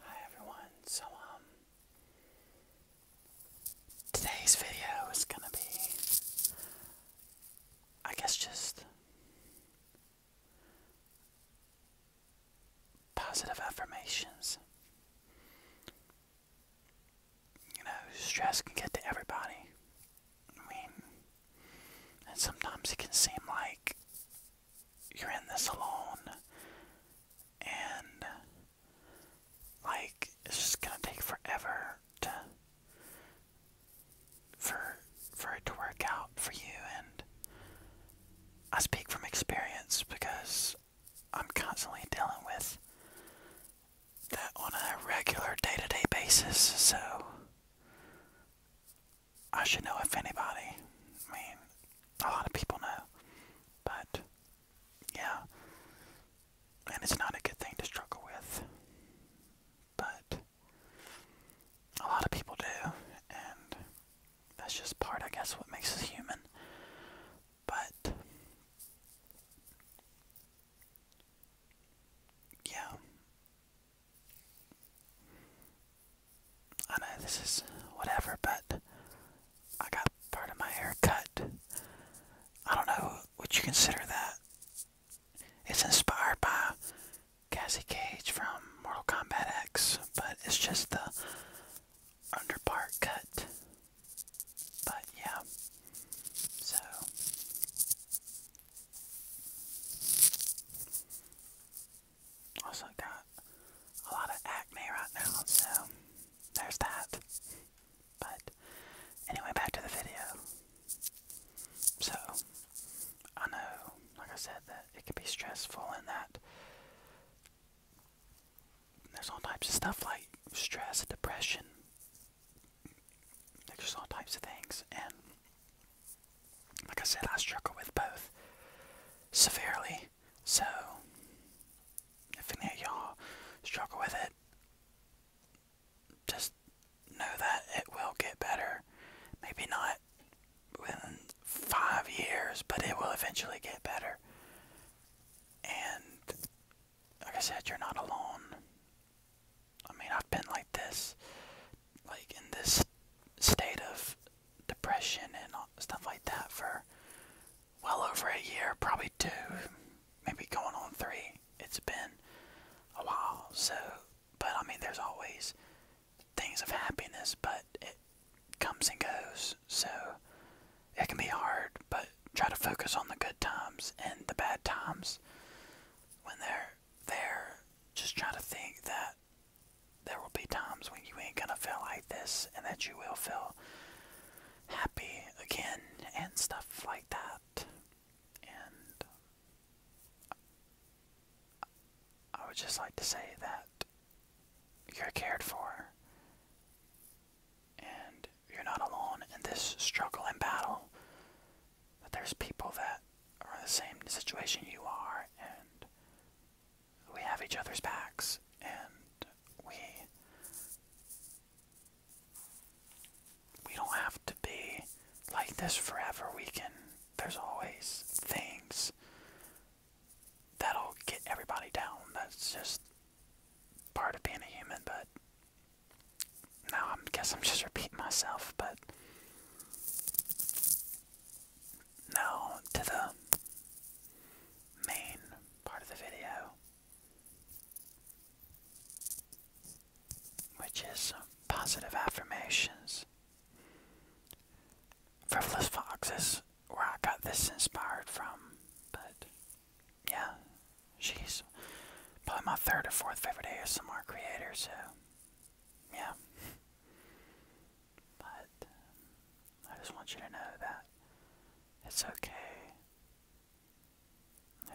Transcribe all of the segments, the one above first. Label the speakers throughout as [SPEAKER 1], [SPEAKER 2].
[SPEAKER 1] Hi everyone, so um, today's video is gonna be I guess just positive affirmations you know, stress can get to everybody. I mean, and sometimes it can seem like you're in this alone, and like it's just gonna take forever to for for it to work out for you. And I speak from experience because I'm constantly dealing with that on a regular day to day basis, so I should know if anybody. I mean, a lot of people know. But, yeah. And it's not a good thing to struggle with. But, a lot of people do. And that's just part, I guess, what makes us human. But, yeah. I know this is whatever, but I got part of my hair cut. I don't know, would you consider that? It's inspired by Cassie Cage from Mortal Kombat X, but it's just the underpart cut. But yeah. So also got a lot of acne right now, so there's that. But anyway, back to the video. So I know, like I said, that it can be stressful and that there's all types of stuff like stress, depression, just all types of things, and like I said, I struggle with both severely. So, if any of y'all struggle with it, just know that it will get better. Maybe not within five years, but it will eventually get better. And like I said, you're not alone. I mean, I've been like this, like in this state of depression and stuff like that for well over a year, probably two, maybe going on three. It's been a while, so, but I mean, there's always things of happiness, but it comes and goes, so it can be hard, but try to focus on the good times and the bad times when they're there. Just try to think that there will be times when you ain't gonna feel like this and that you will feel happy again and stuff like that. And I would just like to say that you're cared for and you're not alone in this struggle and battle. That there's people that are in the same situation you are, and we have each other's backs, and we we don't have to be like this forever. We can. There's always things that'll get everybody down. That's just part of being a human, but now I guess I'm just repeating myself, but now to the main part of the video, which is positive affirmations. Frivolous Fox is where I got this inspired from, but yeah, She's probably my third or fourth favorite ASMR creator, so yeah. but um, I just want you to know that it's okay.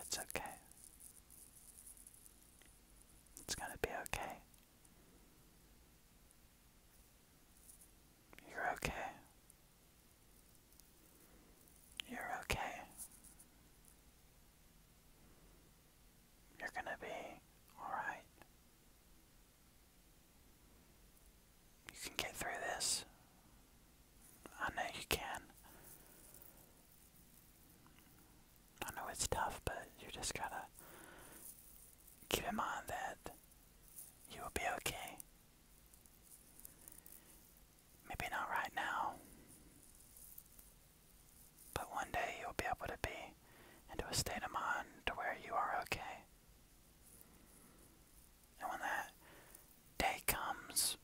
[SPEAKER 1] It's okay. It's gonna be okay. You're okay. You're okay. You're gonna be alright. You can get through this. I know you can. I know it's tough, but you just gotta keep in mind that you will be okay. Maybe not right now, but one day you'll be able to be into a state of mind to where you are okay. And when that day comes,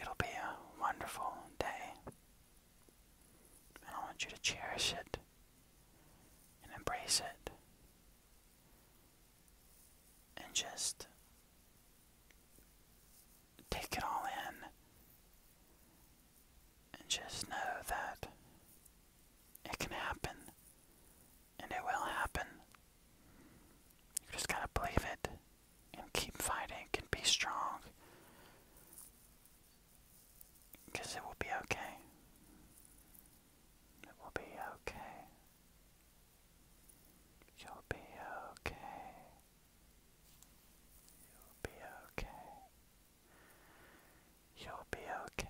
[SPEAKER 1] it'll be a wonderful day. And I want you to cherish it and embrace it and just take it all in and just know that it can happen and it will happen. You just gotta believe it and keep fighting and be strong it will be okay. It will be okay. You'll be okay. You'll be okay. You'll be okay.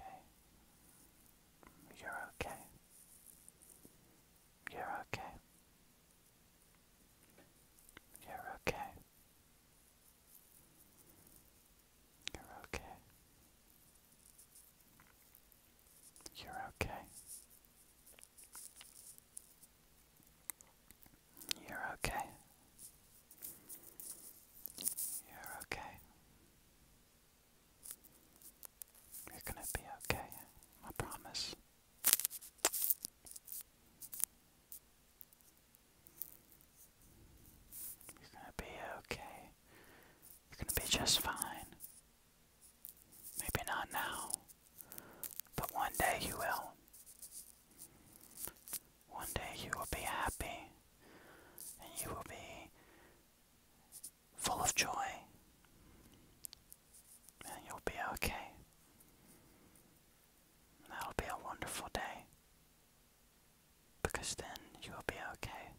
[SPEAKER 1] You're okay. You're okay. You're okay. You're okay. You're okay. You're okay. You're okay. You're gonna be okay, I promise. You're gonna be okay. You're gonna be just fine. Maybe not now, but one day you will. One day you will be happy and you will be full of joy and you'll be okay. That'll be a wonderful day because then you will be okay.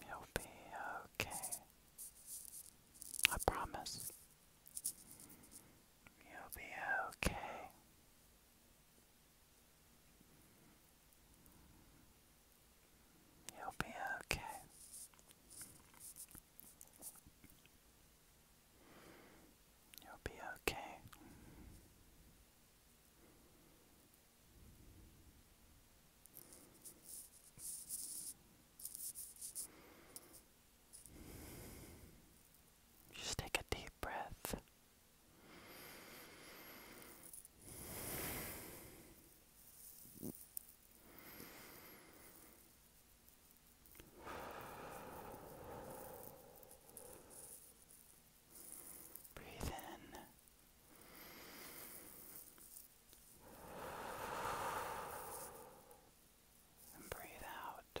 [SPEAKER 1] You'll be okay. I promise. You'll be okay. You'll be okay. You'll be okay. Just take a deep breath. Breathe in and breathe out.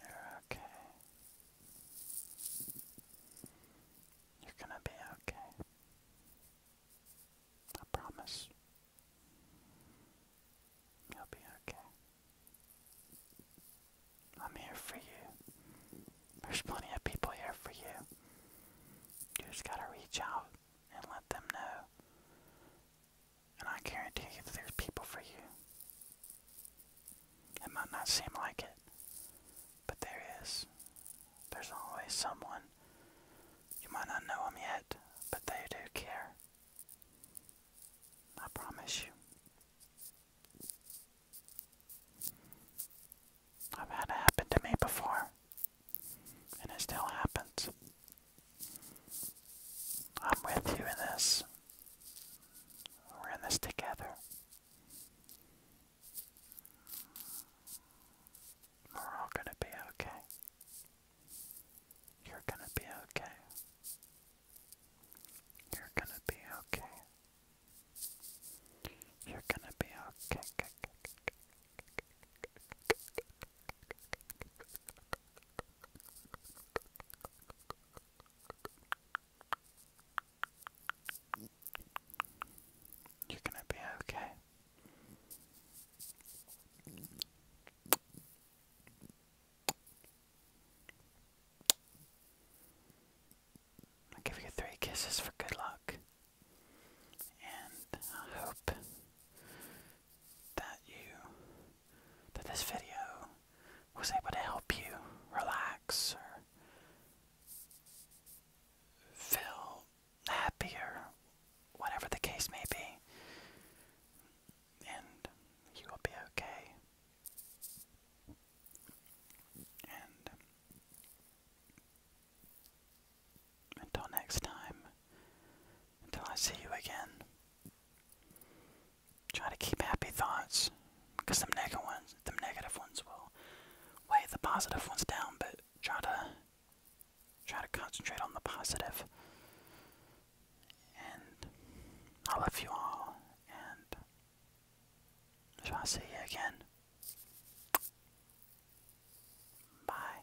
[SPEAKER 1] You're okay. You're gonna be okay. I promise. You'll be okay. I'm here for you. There's plenty of people here for you. You just gotta reach out and let them know and I guarantee you that there's people for you. It might not seem like it, but there is. There's always someone. You might not know them yet, but they do care. I promise you. I've had it happen to me before, and it still happens. I'm with you in this. We're in this together. We're all gonna be okay. You're gonna be okay. You're gonna be okay. You're gonna be okay. You're going to be okay. I'll give you three kisses for good luck. And I hope that you that this video was able to help you relax or feel happier, whatever the case may be, and you will be okay. And until next time, until I see you again, Try to keep happy thoughts, because them negative ones, will weigh the positive ones down. But try to try to concentrate on the positive. And I love you all, and shall I see you again? Bye.